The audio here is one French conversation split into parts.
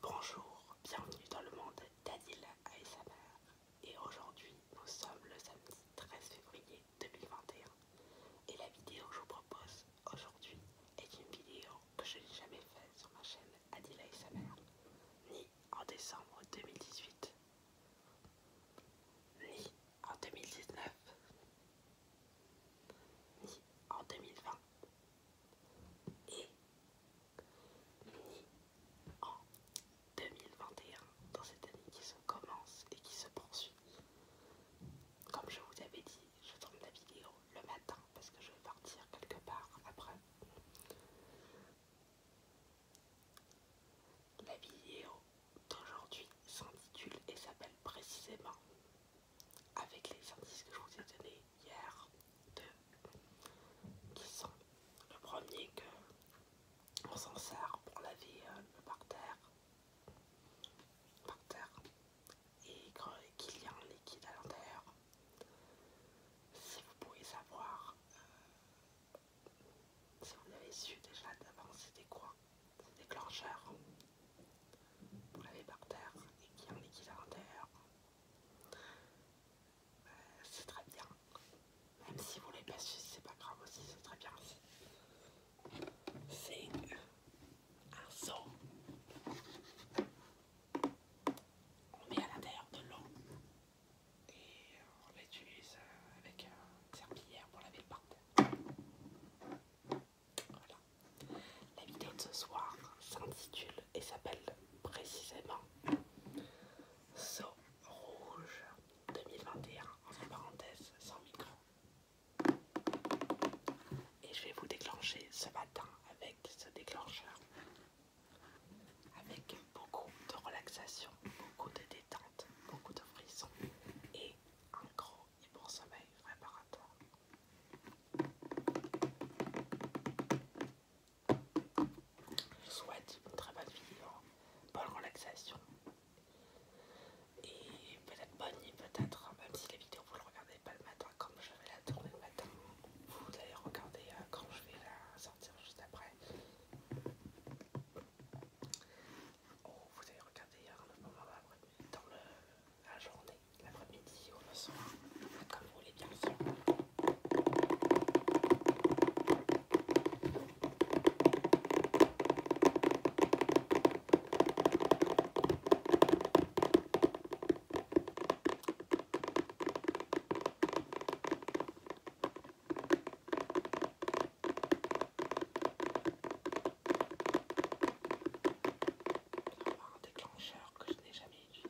Bonjour, bienvenue dans le monde d'Adila ASMR et aujourd'hui nous sommes le samedi 13 février 2021 et la vidéo que je vous propose aujourd'hui est une vidéo que je n'ai jamais faite sur ma chaîne Adil ASMR ni en décembre 2018 ni en 2019 ni en 2020 et en 2021 dans cette année qui se commence et qui se poursuit. Comme je vous avais dit, je tourne la vidéo le matin parce que je vais partir quelque part après. La vidéo d'aujourd'hui s'intitule et s'appelle précisément avec les indices que je vous ai donné hier, deux, qui sont le premier que on s'en sert pour laver euh, le parterre, terre, et qu'il y a un liquide à l'intérieur. Si vous pouvez savoir, euh, si vous l'avez su déjà d'avance, c'était quoi C'est déclencheur. Pour laver par terre et qu'il y a un liquide à l'intérieur. Euh, c'est très bien. Même si vous les passez, c'est pas grave aussi, c'est très bien aussi. C'est un seau. On met à l'intérieur de l'eau et on l'utilise euh, avec une serpillière pour laver le parterre. Voilà. La vidéo de ce soir s'intitule et s'appelle précisément Saut Rouge 2021, entre parenthèses, sans micro. Et je vais vous déclencher ce matin avec ce déclencheur. Avec beaucoup de relaxation, beaucoup de détente, beaucoup de frissons et un gros et bon sommeil réparateur. Je vous souhaite une très bonne vidéo, bonne relaxation et peut-être bonne nuit, peut-être, même si la vidéo vous ne le regardez pas le matin, comme je vais la tourner le matin, vous allez regarder euh, quand je vais la sortir juste après. Oh, vous allez regarder hier euh, moment dans le la journée, l'après-midi ou le soir, comme vous voulez bien sûr. Avoir un déclencheur que je n'ai jamais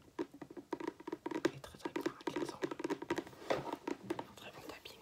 est très très bien bon tapping.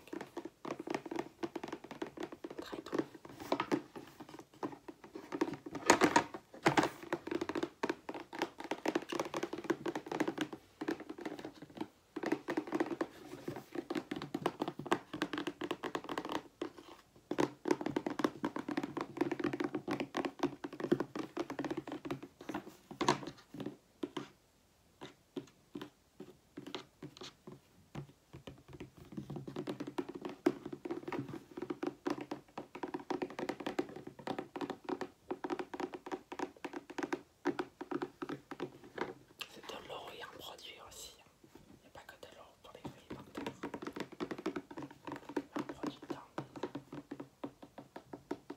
C'est de l'eau et un produit aussi. Il hein. n'y a pas que de l'eau pour les feuilles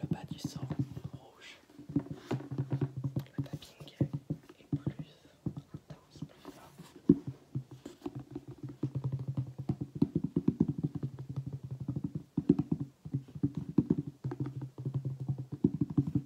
Le bas du sang rouge. Le tapping est plus intense, plus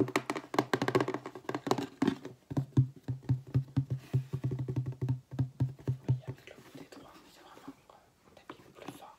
Oui, avec le bout des doigts, c'est vraiment hein. plus fort.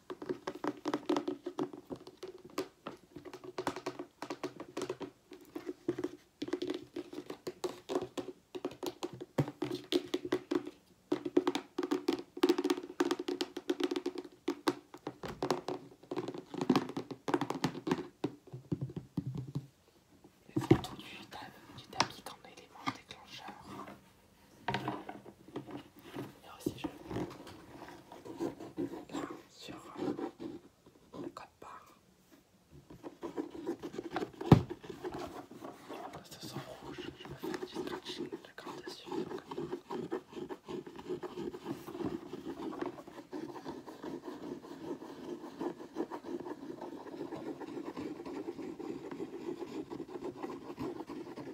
Les du tapis comme élément déclencheur. Et aussi, je là, sur le code barre. Là, ce rouge, je vais faire du stretching d'accord dessus. Donc. Voilà.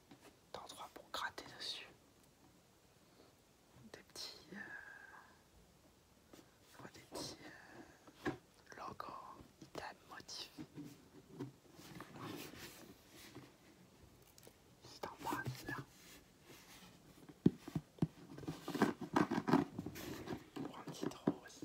d'endroits pour gratter dessus. Des petits, euh, petits euh, logos, items, motifs. C'est un bas, là. Pour un petit rose.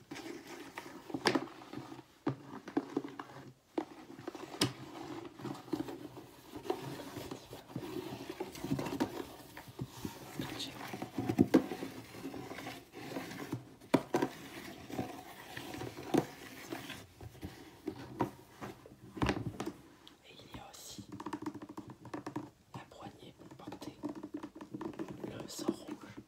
Et il y a aussi la poignée pour porter le sang rouge.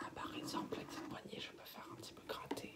Ah, par exemple, avec cette poignée, je peux faire un petit peu gratter.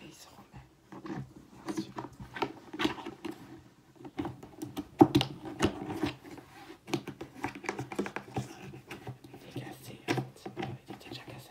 et il se remet. cassé, il était déjà cassé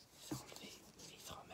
enlever les trois mains.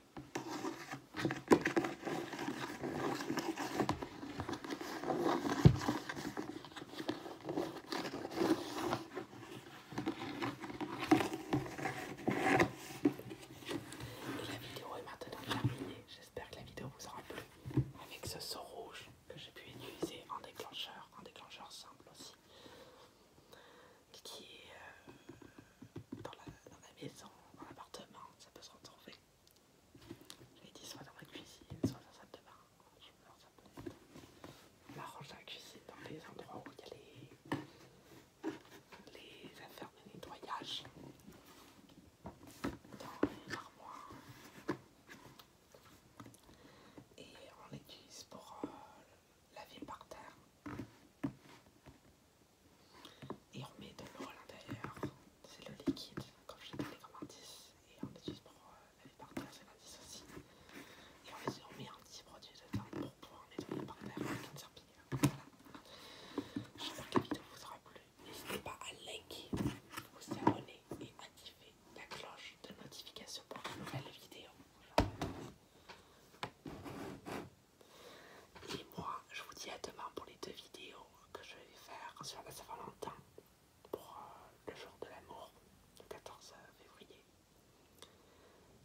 Et la vidéo est maintenant terminée. J'espère que la vidéo vous aura plu. Avec ce seau rouge que j'ai pu utiliser en déclencheur, en déclencheur simple aussi, qui est euh, dans la maison, dans l'appartement, ça peut se retrouver. Je l'ai dit soit dans ma cuisine, soit dans la salle de bain. Je me On l'arrange dans la cuisine, dans les endroits où il y a les, affaires de nettoyage. Dans les armoires. Et on l'utilise pour euh, laver par terre. Et on met de l'eau à l'intérieur, c'est le liquide, comme j'ai donné comme indice, et on utilise pour euh, par terre, c'est l'indice aussi. Et on, on met en petit produits dedans pour pouvoir nettoyer par terre avec une serpillière. J'espère que la vidéo vous aura plu. N'hésitez pas à liker, vous abonner et activer la cloche de notification pour de nouvelles vidéos. Et moi, je vous dis à demain pour les deux vidéos que je vais faire sur la Saint-Valentin pour euh, le jour de l'amour, le 14 février.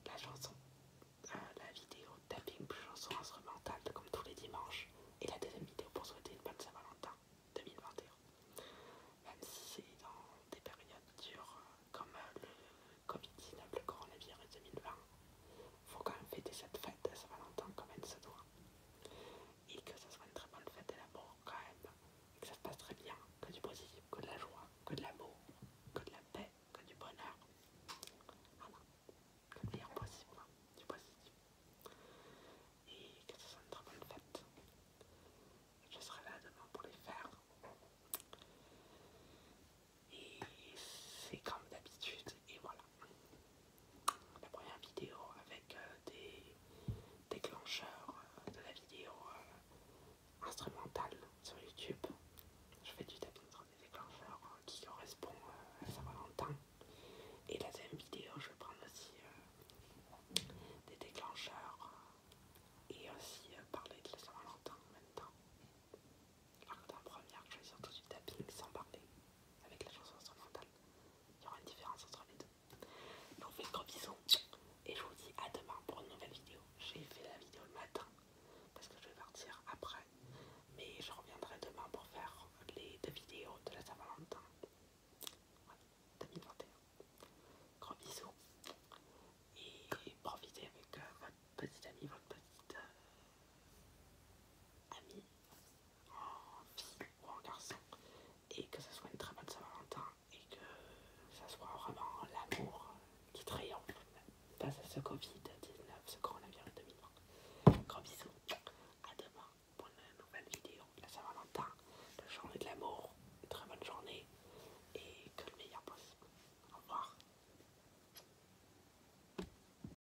La chanson, euh, la vidéo tapping plus chanson instrumentale comme tous les dimanches et la deuxième vidéo pour souhaiter une bonne Saint-Valentin 2021. Même si c'est dans des périodes dures euh, comme le Covid-19, le coronavirus 2020, faut quand même fêter cette fête de Saint-Valentin comme elle se doit et que ça soit une très bonne fête de l'amour quand même, et que ça se passe très bien, que du positif, que de la joie, que de l'amour, que de la paix, que du bonheur, voilà, le meilleur possible, hein, du positif, et que ce soit une très bonne fête. Je serai là demain pour les faire. Et c'est comme d'habitude, et voilà la première vidéo avec euh, des déclencheurs euh, de la vidéo euh, instrumentale sur YouTube. Je fais du tapis des déclencheurs qui correspondent à Saint-Valentin. Et la deuxième vidéo, je vais prendre aussi des déclencheurs et aussi parler de la Saint-Valentin en même temps la première de surtout du tapping sans parler avec la chanson instrumentale. Il y aura une différence entre les deux. Je vous fais de gros bisous et je vous dis à demain pour une nouvelle vidéo. J'ai fait la vidéo le matin parce que je vais partir après, mais je reviendrai demain pour faire les deux vidéos de la Saint-Valentin 2021. Gros bisous et profitez avec euh, votre petite amie, votre petite euh, amie en oh, fille ou oh, en garçon, et que ce soit une très bonne Saint-Valentin, et que ça soit vraiment l'amour qui triomphe face à ce Covid-19, ce coronavirus 2020. grand bisous, à demain pour une nouvelle vidéo la Saint-Valentin, la journée de l'amour, une très bonne journée, et que le meilleur possible. Au revoir.